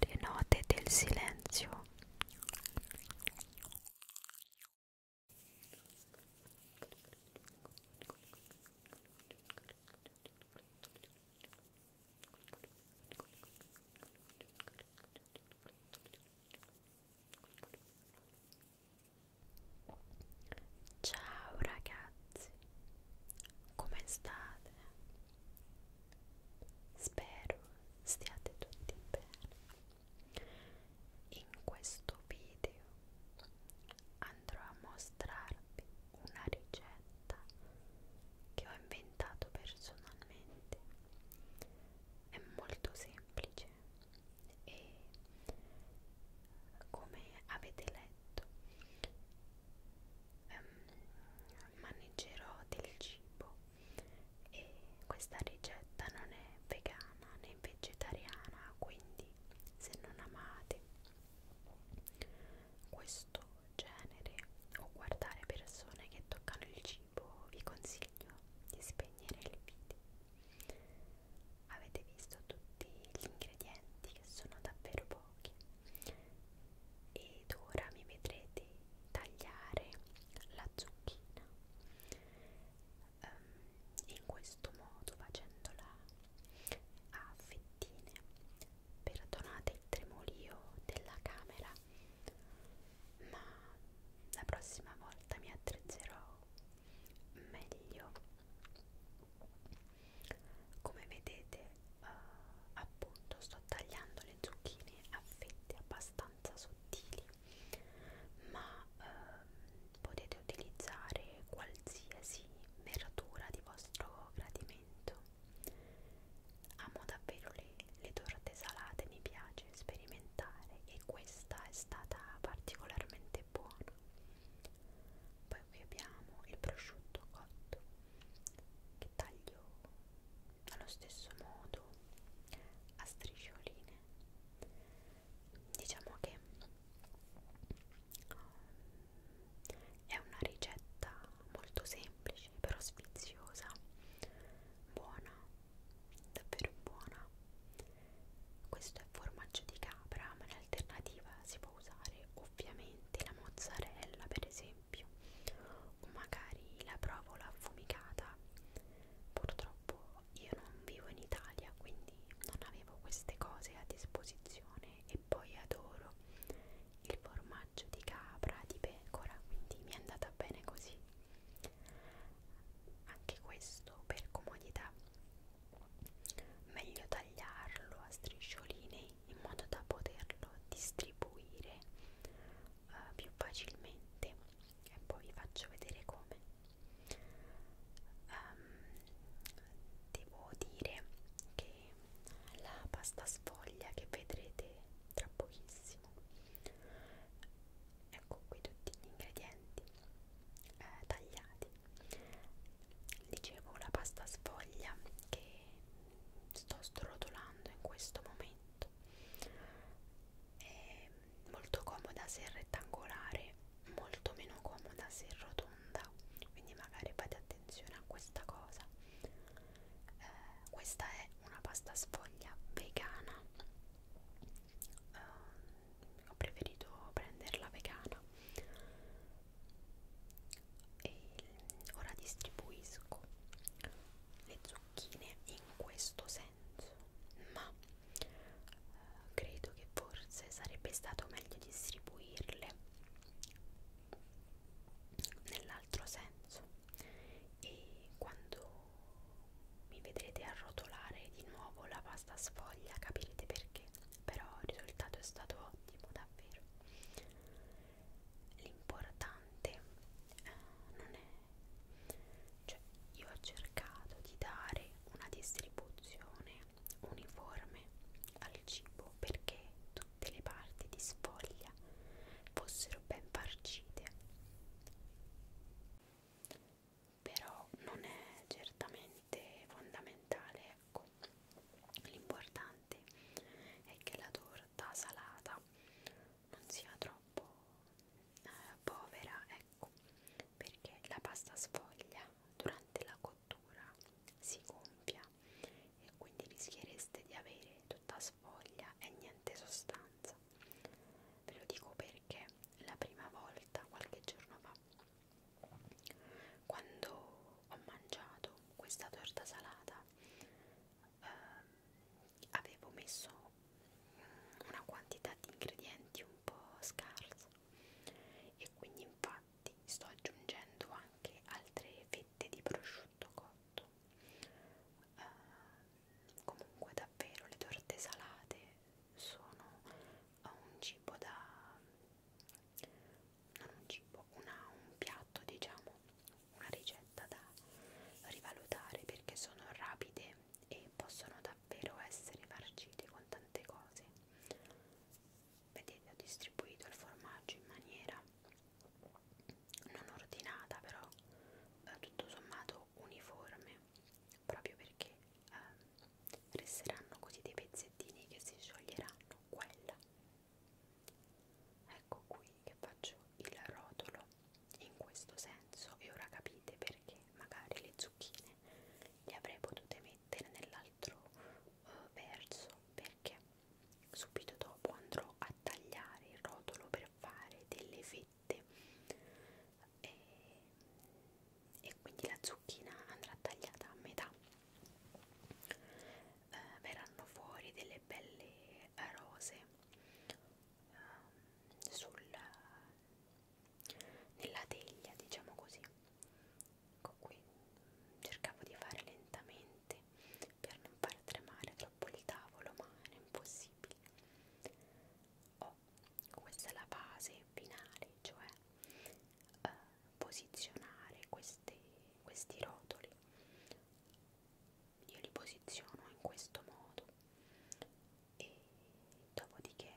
le note del silenzio Ciao ragazzi come state? Spero stiate tutti bene. In questo video andrò a mostrarvi una ricetta che ho inventato personalmente. È molto semplice e come avete letto letto um, ehm, maneggerò del cibo e questa ricetta non è vegana né vegetariana quindi se non amate questo genere o guardare persone che toccano il cibo vi consiglio di spegnere il video Avete visto tutti gli ingredienti che sono davvero pochi ed ora mi vedrete tagliare la zucchina um, in questo modo facendola a fettine. Perdonate il tremolio della camera ma la prossima volta mi attrezzerò meglio come vedete eh, appunto sto tagliando le zucchine a fette abbastanza sottili ma eh, potete utilizzare qualsiasi meratura di vostro gradimento amo davvero le, le torte salate mi piace sperimentare e questa è stata particolarmente veramente buono poi qui abbiamo il prosciutto cotto che taglio allo stesso modo a striscioline diciamo che um, è una ricetta molto semplice però sfiziosa buona davvero buona questo è formaggio di capra ma in alternativa si può usare ovviamente la mozzarella per esempio o magari la provola affumicata purtroppo io non vivo in Italia quindi non avevo queste cose a disposizione e poi adoro il formaggio di capra di pecora quindi mi è andata bene così anche questo per comodità meglio tagliarlo a striscioline in modo da poterlo distribuire uh, più facilmente e poi vi faccio vedere come um, devo dire che la pasta sfoglia che vedrete tra pochissimo ecco qui tutti gli ingredienti eh, tagliati dicevo la pasta sfoglia che sto srotolando in questo momento è molto comoda se è rettangolare molto meno comoda se è rotonda quindi magari fate attenzione a questa cosa eh, questa è una pasta sfoglia vegana eh, ho preferito prenderla vegana e ora distribuisco le zucchine in questo senso ma eh, credo che forse sarebbe stato meglio distribuirle nell'altro senso e quando mi vedrete arrotolare di nuovo la pasta sfoglia capirete perché però il risultato è stato ottimo davvero l'importante eh, non è cioè io ho cercato di dare una distribuzione uniforme al cibo perché tutte le parti di sfoglia fossero ben farcite. Però non è certamente fondamentale, ecco. L'importante è che la torta salata non sia troppo eh, povera, ecco, perché la pasta sfoglia durante la cottura si gonfia e quindi rischiereste di avere tutta sfoglia e niente sostanza. Ve lo dico perché la prima volta, qualche giorno fa, quando ho mangiato questa torta salata, eh, avevo messo una quantità di ingredienti un po' scarsa e quindi infatti infatti sto aggiungendo anche altre fette di prosciutto cotto uh, comunque davvero le torte salate sono eh, un cibo da non un cibo una, un piatto diciamo una ricetta da rivalutare perché sono rapide e possono davvero essere farcite con tante cose vedete ho distribuito il formaggio in maniera non ordinata però eh, tutto sommato uniforme proprio perché eh, resteranno così dei pezzettini che si scioglieranno quella ecco qui che faccio il rotolo in questo senso e ora capite perché magari le zucchine le avrei potute mettere nell'altro l'altro eh, verso perché subito dopo andrò a tagliare il rotolo per fare delle fette e, e quindi la zucchina andrà tagliata a metà eh, verranno fuori delle belle eh, rose eh, sul, nella teglia diciamo così Ecco qui, cercavo di fare lentamente per non far tremare troppo il tavolo, ma era impossibile. Oh, questa è la fase finale, cioè eh, posizionare queste, questi rotoli. Io li posiziono in questo modo e dopodiché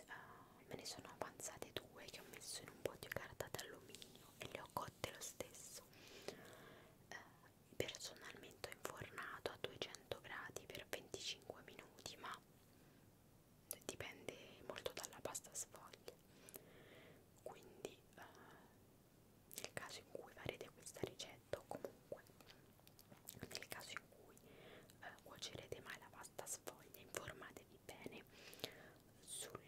uh, me ne sono avanzate due che ho messo in un po' di carta d'alluminio e le ho cotte lo stesso uh, personalmente ho infornato a 200 gradi per 25 minuti ma dipende molto dalla pasta sfoglia quindi uh, nel caso in cui farete questa ricetta o comunque nel caso in cui eh, cuocerete mai la pasta sfoglia informatevi bene sul,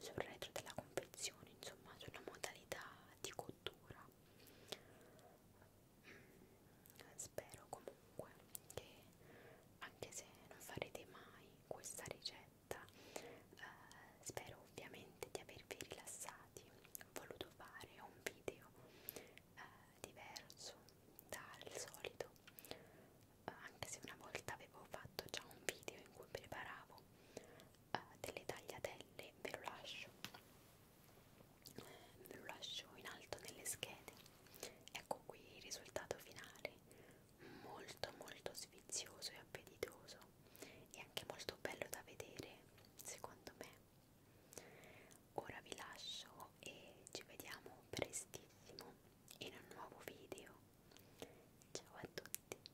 sul retro della confezione insomma sulla modalità di cottura mm, spero comunque che anche se non farete mai questa ricetta eh, spero ovviamente di avervi rilassati ho voluto fare un video eh, diverso dal solito eh, anche se una volta avevo fatto già un video in cui preparavo eh, delle tagliatelle ve lo lascio eh, ve lo lascio in alto nelle schede ecco qui il risultato finale molto molto sfizioso e appetitoso e anche molto bello da vedere secondo me Ora vi lascio e ci vediamo prestissimo in un nuovo video. Ciao a tutti.